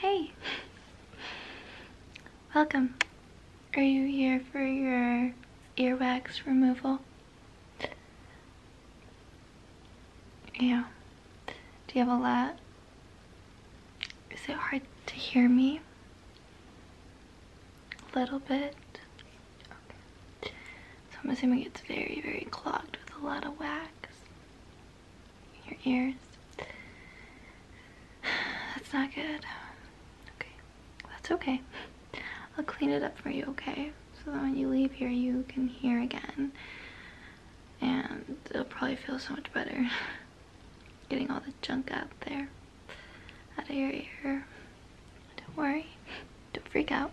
Hey! Welcome. Are you here for your earwax removal? Yeah. Do you have a lot? Is it hard to hear me? A little bit? So I'm assuming it's very, very clogged with a lot of wax your ears. That's not good. Okay, that's okay. I'll clean it up for you, okay? So that when you leave here, you can hear again. And it'll probably feel so much better getting all the junk out there, out of your ear. Don't worry, don't freak out.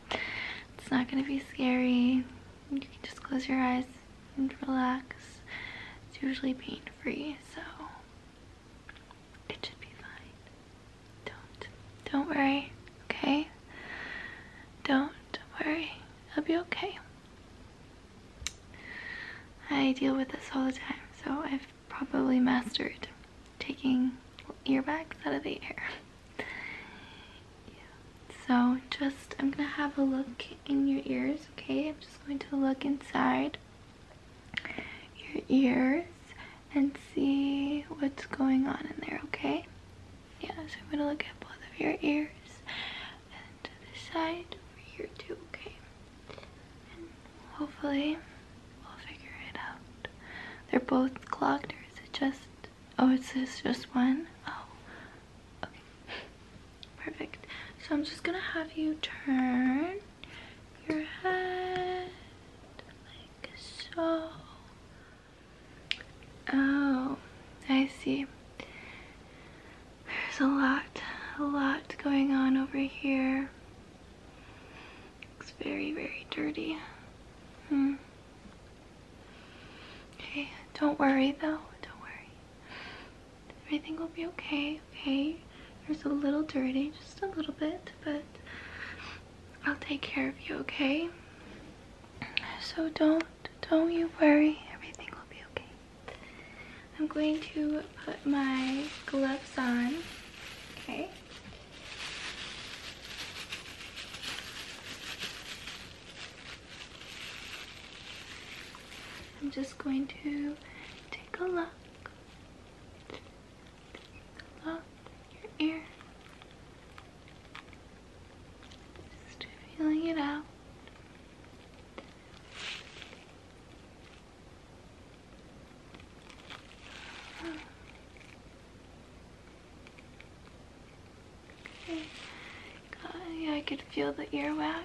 It's not gonna be scary you can just close your eyes and relax. It's usually pain free, so it should be fine. Don't, don't worry, okay? Don't worry, it'll be okay. I deal with this all the time, so I've probably mastered taking earbuds out of the ear. yeah. So just, I'm going to have a look in your ears, okay? I'm just going to look inside your ears and see what's going on in there, okay? Yeah, so I'm going to look at both of your ears and to the side over here too, okay? hopefully we'll figure it out. They're both clogged or is it just, oh, it's this just one? Oh, Perfect. So I'm just gonna have you turn your head like so. Oh, I see. There's a lot, a lot going on over here. It's very, very dirty. Hmm. Okay, don't worry though, don't worry. Everything will be okay, okay? There's a little dirty, just a little bit, but I'll take care of you, okay? So don't, don't you worry, everything will be okay. I'm going to put my gloves on, okay? I'm just going to take a look. Take your ear. Just feeling it out. Okay. I could feel the earwax.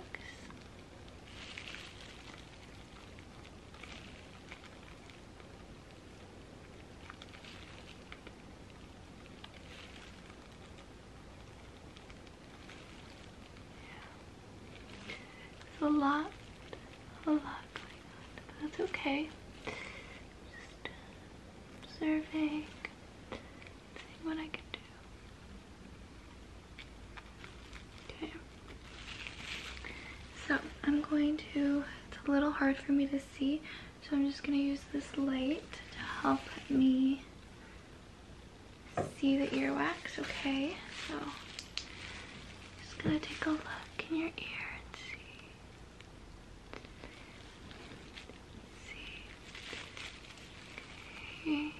It's a lot, a lot but that's okay. Just Okay. So I'm going to, it's a little hard for me to see, so I'm just going to use this light to help me see the earwax, okay? So I'm just going to take a look in your ear and see see. Okay.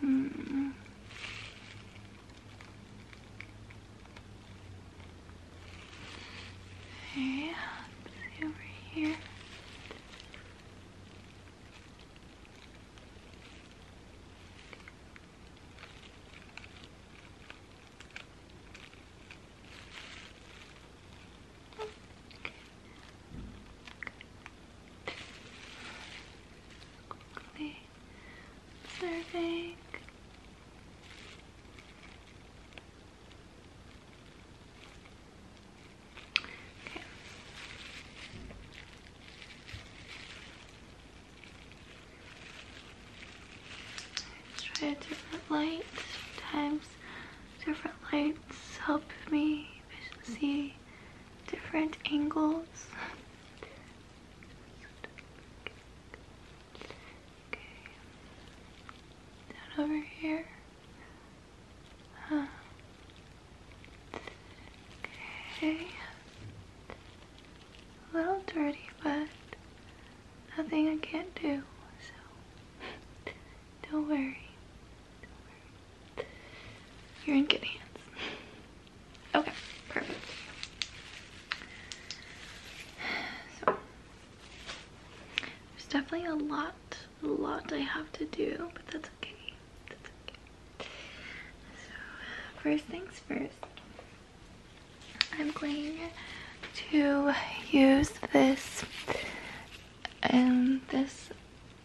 Hmm. Yeah, over here. Quickly observing. Let's try a different light. Sometimes different lights help me see different angles. Okay. Down over here. Okay. A little dirty, but nothing I can't do, so Don't worry. You're in good hands. Okay, perfect. So, there's definitely a lot, a lot I have to do, but that's okay. So, first things first, I'm going to use this and um, this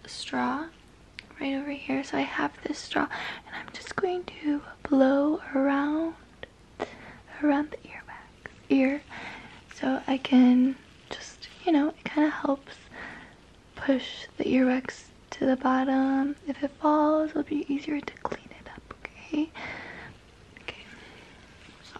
straw right over here. So I have this straw and I'm just going to blow around around the earbag ear so I can just, you know, it kind of helps push the earwax to the bottom. If it falls, it'll be easier to clean it up, okay? Okay, so.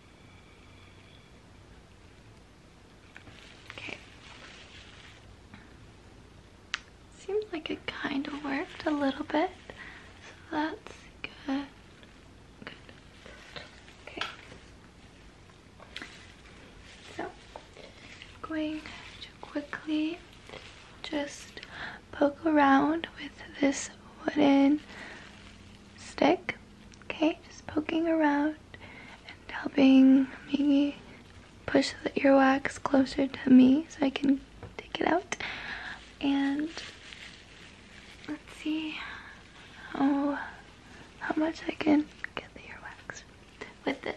Okay. Seems like it kind of worked a little bit. So that's good. Okay. So, I'm going to quickly just poke around with this wooden stick, okay? Just poking around and helping me push the earwax closer to me so I can take it out. And let's see how, how much I can get the earwax with this.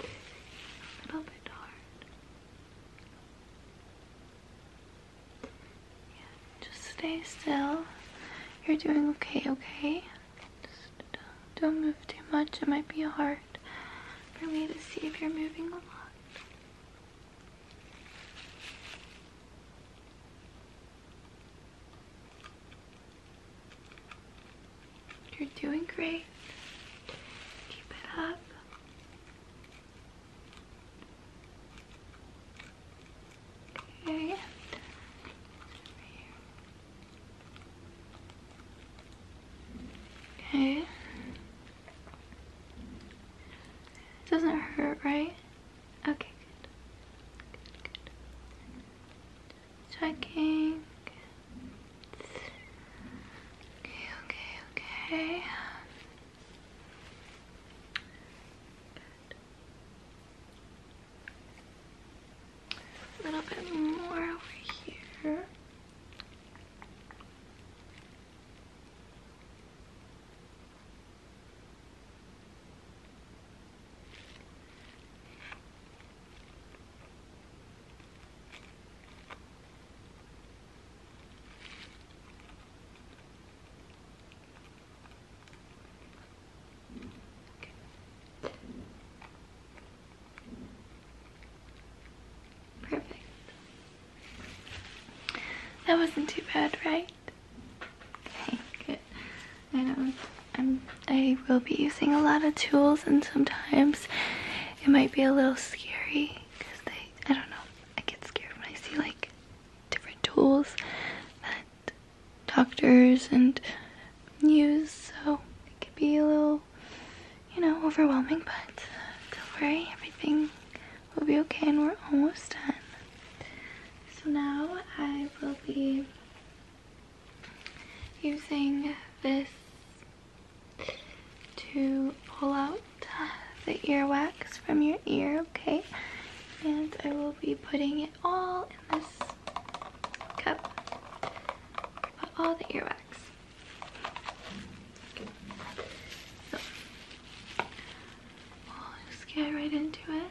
A little bit hard. just stay still. You're doing okay, okay? Just don't move too much. It might be hard for me to see if you're moving a lot. You're doing great. Keep it up. Okay. Okay. It doesn't hurt, right? Okay, good. Good, good. Checking. Okay, okay, okay. A little bit more over here. Perfect. That wasn't too bad, right? Okay, good. I know i will be using a lot of tools and sometimes it might be a little scary because I don't know, I get scared when I see like different tools that doctors and use so it could be a little, you know, overwhelming but don't worry, everything We'll be okay and we're almost done. So now I will be using this to pull out the earwax from your ear, okay? And I will be putting it all in this cup. Put all the earwax. So, I'll get right into it.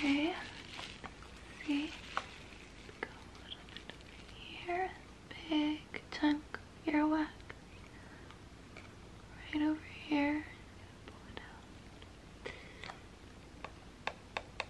Okay. See, go a little bit here. Big chunk earwax. Right over here.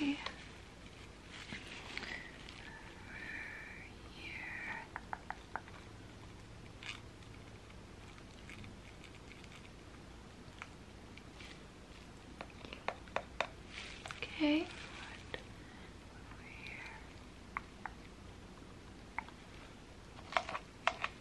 Okay. Over here. Okay. over here.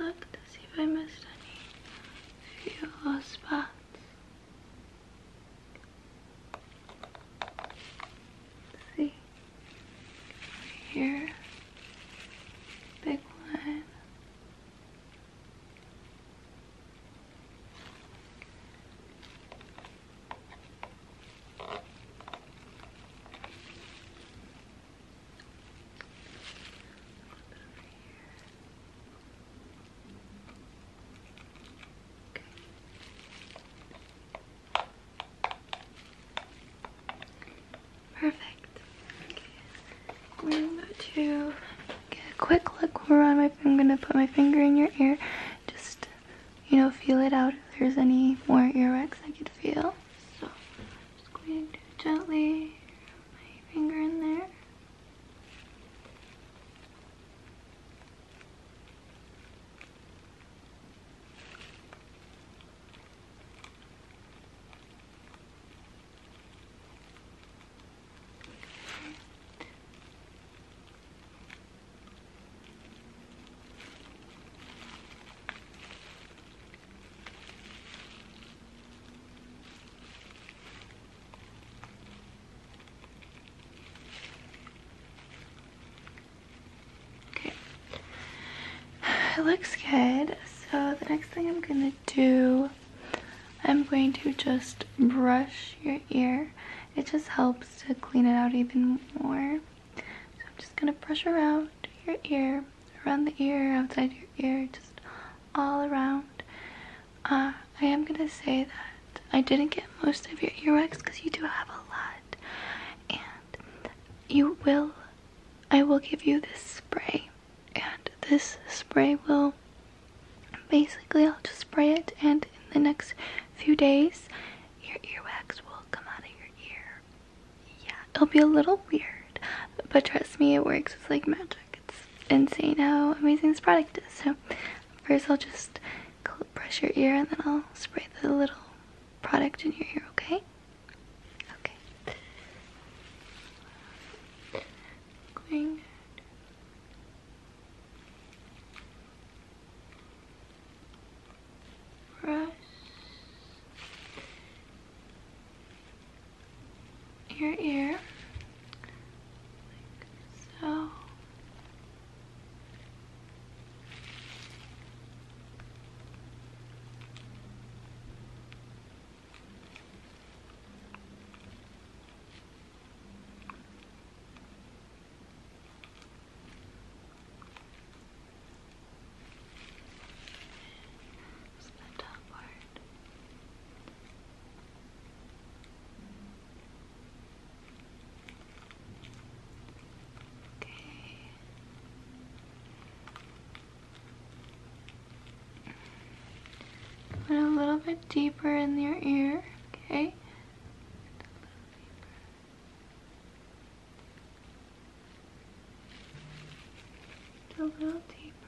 Look to see if I missed any few spots. see, here, big one. Perfect. Okay. We're going to get a quick look around I'm gonna put my finger in your ear. Just you know, feel it out if there's any more earwax I could feel. So just going to gently my finger in there. Okay, it looks good. So the next thing I'm gonna do, I'm going to just brush your ear. It just helps to clean it out even more. So I'm just gonna brush around your ear around the ear, outside your ear, just all around. Uh, I am gonna say that I didn't get most of your earwax because you do have a lot, and you will. I will give you this spray, and this spray will basically I'll just spray it, and in the next few days, your earwax will come out of your ear, yeah, it'll be a little weird, but trust me, it works. It's like magic. It's insane how amazing this product is. So first I'll just brush your ear and then I'll spray the little product in your ear, okay? Okay. brush your ear so the top part. Okay. Put a little bit deeper in your ear, okay? a little deeper.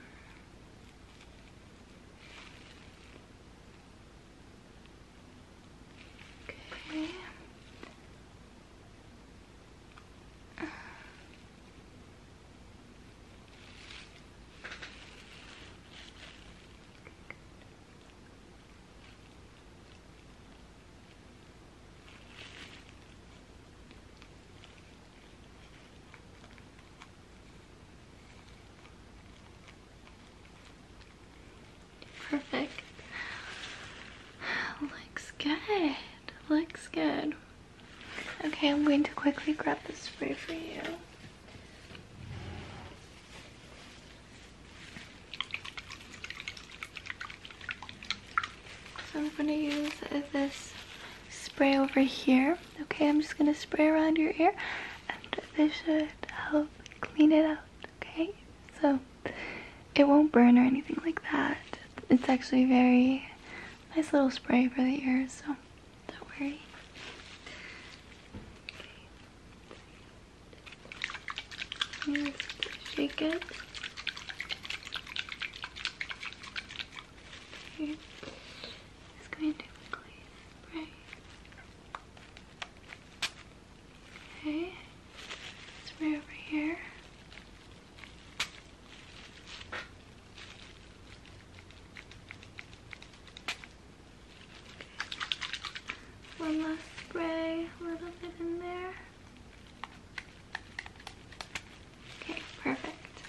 Okay. Perfect. Looks good. Looks good. Okay, I'm going to quickly grab the spray for you. So I'm going to use this spray over here. Okay, I'm just going to spray around your ear and this should help clean it out. Okay, so it won't burn or anything like that. It's actually very nice little spray for the ears, so don't worry. shake it. Here. going to quickly spray. Okay. Spray over here. One last spray, a little bit in there. Okay, perfect.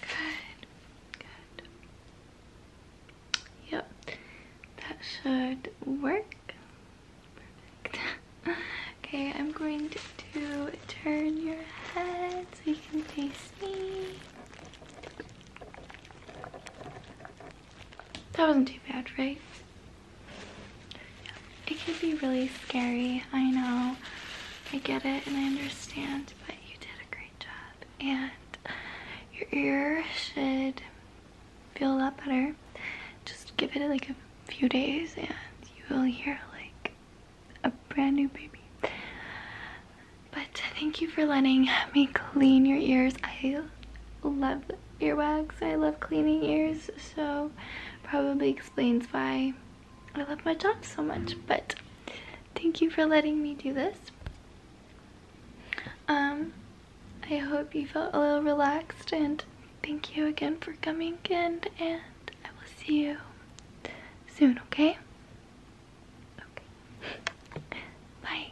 Good, good. Yep, that should work. okay, I'm going to, turn your head so you can taste me. That wasn't too bad, right? It could be really scary, I know. I get it and I understand, but you did a great job. And your ear should feel a lot better. Just give it like a few days and you will hear like a brand new baby. But thank you for letting me clean your ears. I love earwax. I love cleaning ears, so probably explains why I love my job so much. But thank you for letting me do this. Um, I hope you felt a little relaxed and thank you again for coming in and I will see you soon, okay? Okay. Bye.